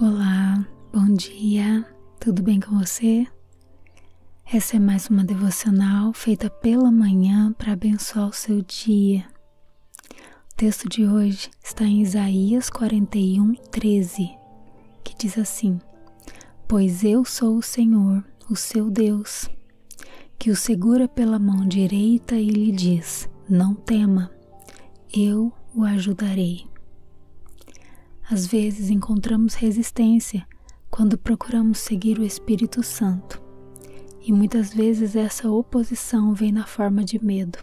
Olá, bom dia, tudo bem com você? Essa é mais uma devocional feita pela manhã para abençoar o seu dia. O texto de hoje está em Isaías 41, 13, que diz assim: Pois eu sou o Senhor, o seu Deus, que o segura pela mão direita e lhe diz: Não tema, eu o ajudarei. Às vezes encontramos resistência quando procuramos seguir o Espírito Santo, e muitas vezes essa oposição vem na forma de medo,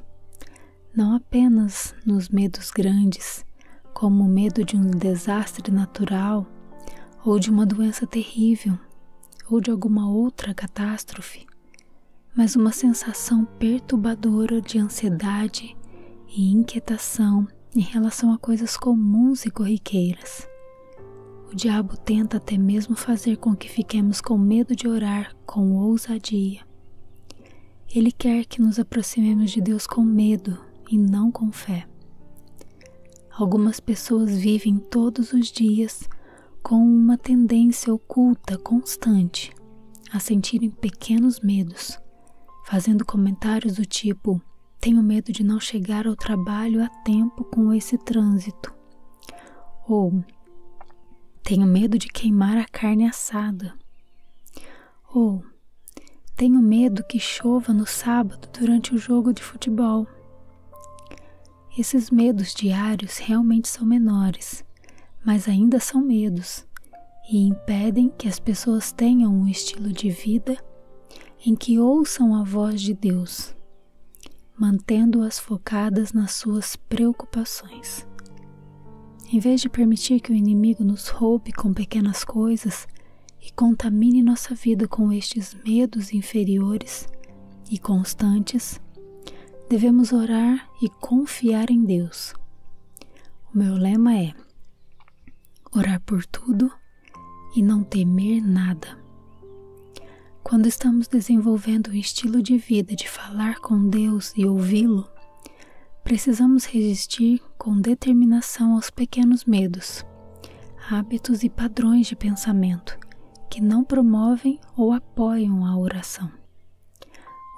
não apenas nos medos grandes como o medo de um desastre natural ou de uma doença terrível ou de alguma outra catástrofe, mas uma sensação perturbadora de ansiedade e inquietação em relação a coisas comuns e corriqueiras. O diabo tenta até mesmo fazer com que fiquemos com medo de orar com ousadia. Ele quer que nos aproximemos de Deus com medo, e não com fé. Algumas pessoas vivem todos os dias com uma tendência oculta constante a sentirem pequenos medos, fazendo comentários do tipo: Tenho medo de não chegar ao trabalho a tempo com esse trânsito. Ou tenho medo de queimar a carne assada. Ou tenho medo que chova no sábado durante o jogo de futebol. Esses medos diários realmente são menores, mas ainda são medos e impedem que as pessoas tenham um estilo de vida em que ouçam a voz de Deus, mantendo-as focadas nas suas preocupações. Em vez de permitir que o inimigo nos roube com pequenas coisas, e contamine nossa vida com estes medos inferiores e constantes, devemos orar e confiar em Deus. O meu lema é orar por tudo e não temer nada. Quando estamos desenvolvendo um estilo de vida de falar com Deus e ouvi-lo, Precisamos resistir com determinação aos pequenos medos, hábitos e padrões de pensamento que não promovem ou apoiam a oração.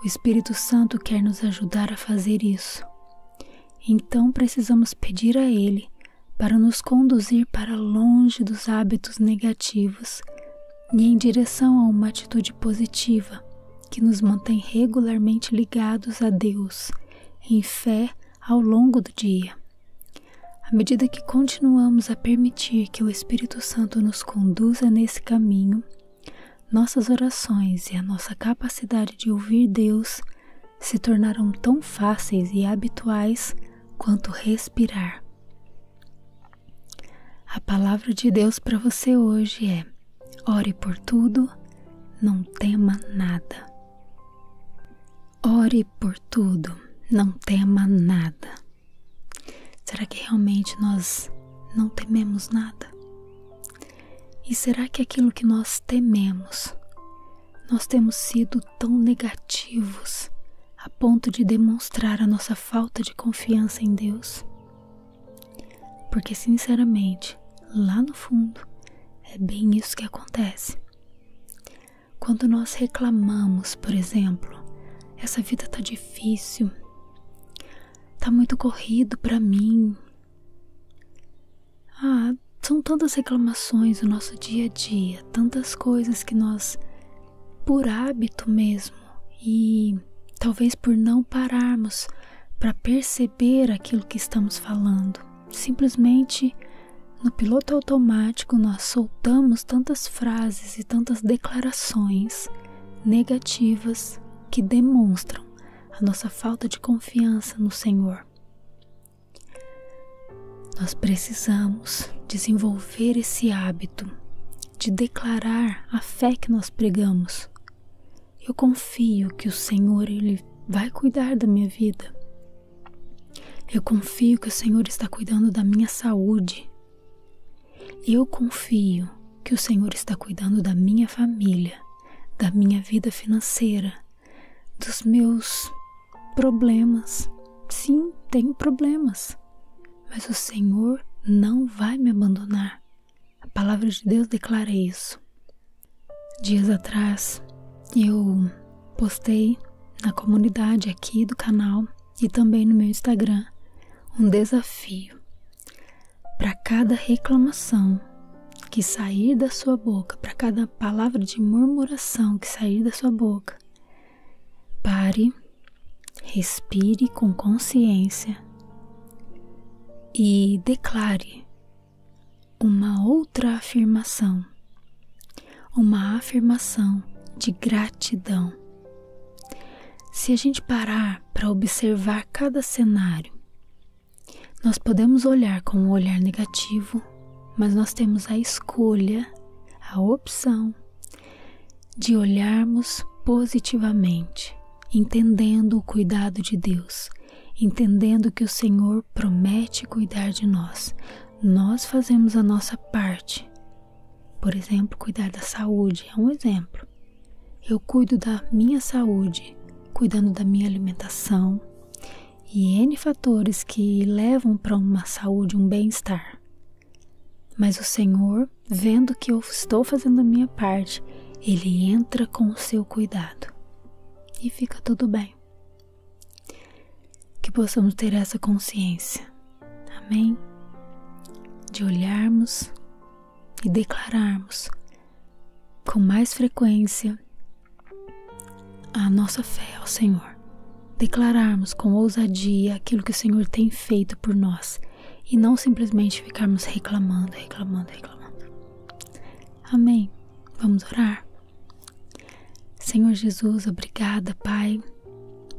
O Espírito Santo quer nos ajudar a fazer isso. Então precisamos pedir a Ele para nos conduzir para longe dos hábitos negativos e em direção a uma atitude positiva que nos mantém regularmente ligados a Deus em fé ao longo do dia. À medida que continuamos a permitir que o Espírito Santo nos conduza nesse caminho, nossas orações e a nossa capacidade de ouvir Deus se tornarão tão fáceis e habituais quanto respirar. A palavra de Deus para você hoje é Ore por tudo, não tema nada. Ore por tudo, não tema nada. Será que realmente nós não tememos nada? E será que aquilo que nós tememos, nós temos sido tão negativos a ponto de demonstrar a nossa falta de confiança em Deus? Porque, sinceramente, lá no fundo, é bem isso que acontece. Quando nós reclamamos, por exemplo, essa vida tá difícil, tá muito corrido para mim. Ah, são tantas reclamações o nosso dia a dia, tantas coisas que nós por hábito mesmo e talvez por não pararmos para perceber aquilo que estamos falando, simplesmente no piloto automático nós soltamos tantas frases e tantas declarações negativas que demonstram a nossa falta de confiança no Senhor. Nós precisamos desenvolver esse hábito de declarar a fé que nós pregamos. Eu confio que o Senhor ele vai cuidar da minha vida. Eu confio que o Senhor está cuidando da minha saúde. Eu confio que o Senhor está cuidando da minha família, da minha vida financeira, dos meus problemas. Sim, tenho problemas, mas o Senhor não vai me abandonar. A palavra de Deus declara isso. Dias atrás, eu postei na comunidade aqui do canal e também no meu Instagram um desafio. Para cada reclamação que sair da sua boca, para cada palavra de murmuração que sair da sua boca, pare Respire com consciência e declare uma outra afirmação, uma afirmação de gratidão. Se a gente parar para observar cada cenário, nós podemos olhar com um olhar negativo, mas nós temos a escolha, a opção de olharmos positivamente, entendendo o cuidado de Deus, entendendo que o Senhor promete cuidar de nós. Nós fazemos a nossa parte. Por exemplo, cuidar da saúde é um exemplo. Eu cuido da minha saúde, cuidando da minha alimentação e N fatores que levam para uma saúde, um bem-estar. Mas o Senhor, vendo que eu estou fazendo a minha parte, ele entra com o seu cuidado e fica tudo bem. Que possamos ter essa consciência, amém? De olharmos e declararmos com mais frequência a nossa fé ao Senhor, declararmos com ousadia aquilo que o Senhor tem feito por nós e não simplesmente ficarmos reclamando, reclamando, reclamando. Amém. Vamos orar. Senhor Jesus, obrigada, Pai,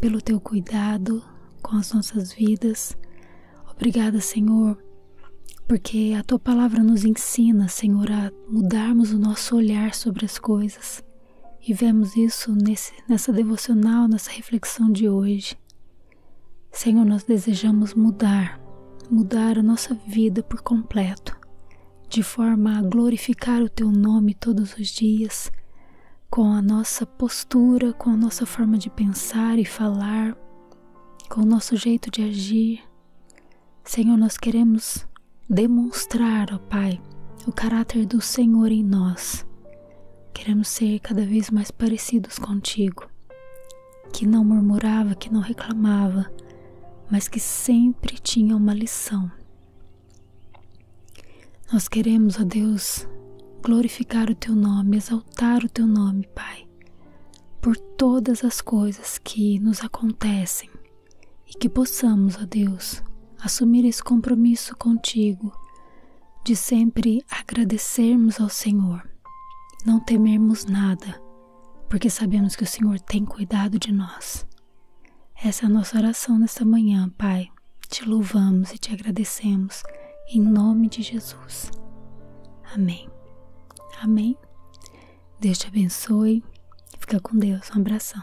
pelo teu cuidado com as nossas vidas. Obrigada, Senhor, porque a tua palavra nos ensina, Senhor, a mudarmos o nosso olhar sobre as coisas. E vemos isso nesse, nessa devocional, nessa reflexão de hoje. Senhor, nós desejamos mudar, mudar a nossa vida por completo, de forma a glorificar o Teu nome todos os dias, com a nossa postura, com a nossa forma de pensar e falar, com o nosso jeito de agir. Senhor, nós queremos demonstrar, ó Pai, o caráter do Senhor em nós, Queremos ser cada vez mais parecidos contigo, que não murmurava, que não reclamava, mas que sempre tinha uma lição. Nós queremos, ó Deus, glorificar o teu nome, exaltar o teu nome, Pai, por todas as coisas que nos acontecem e que possamos, ó Deus, assumir esse compromisso contigo de sempre agradecermos ao Senhor, não temermos nada, porque sabemos que o Senhor tem cuidado de nós. Essa é a nossa oração nesta manhã, Pai. Te louvamos e te agradecemos em nome de Jesus. Amém. Amém. Deus te abençoe. Fica com Deus. Um abração.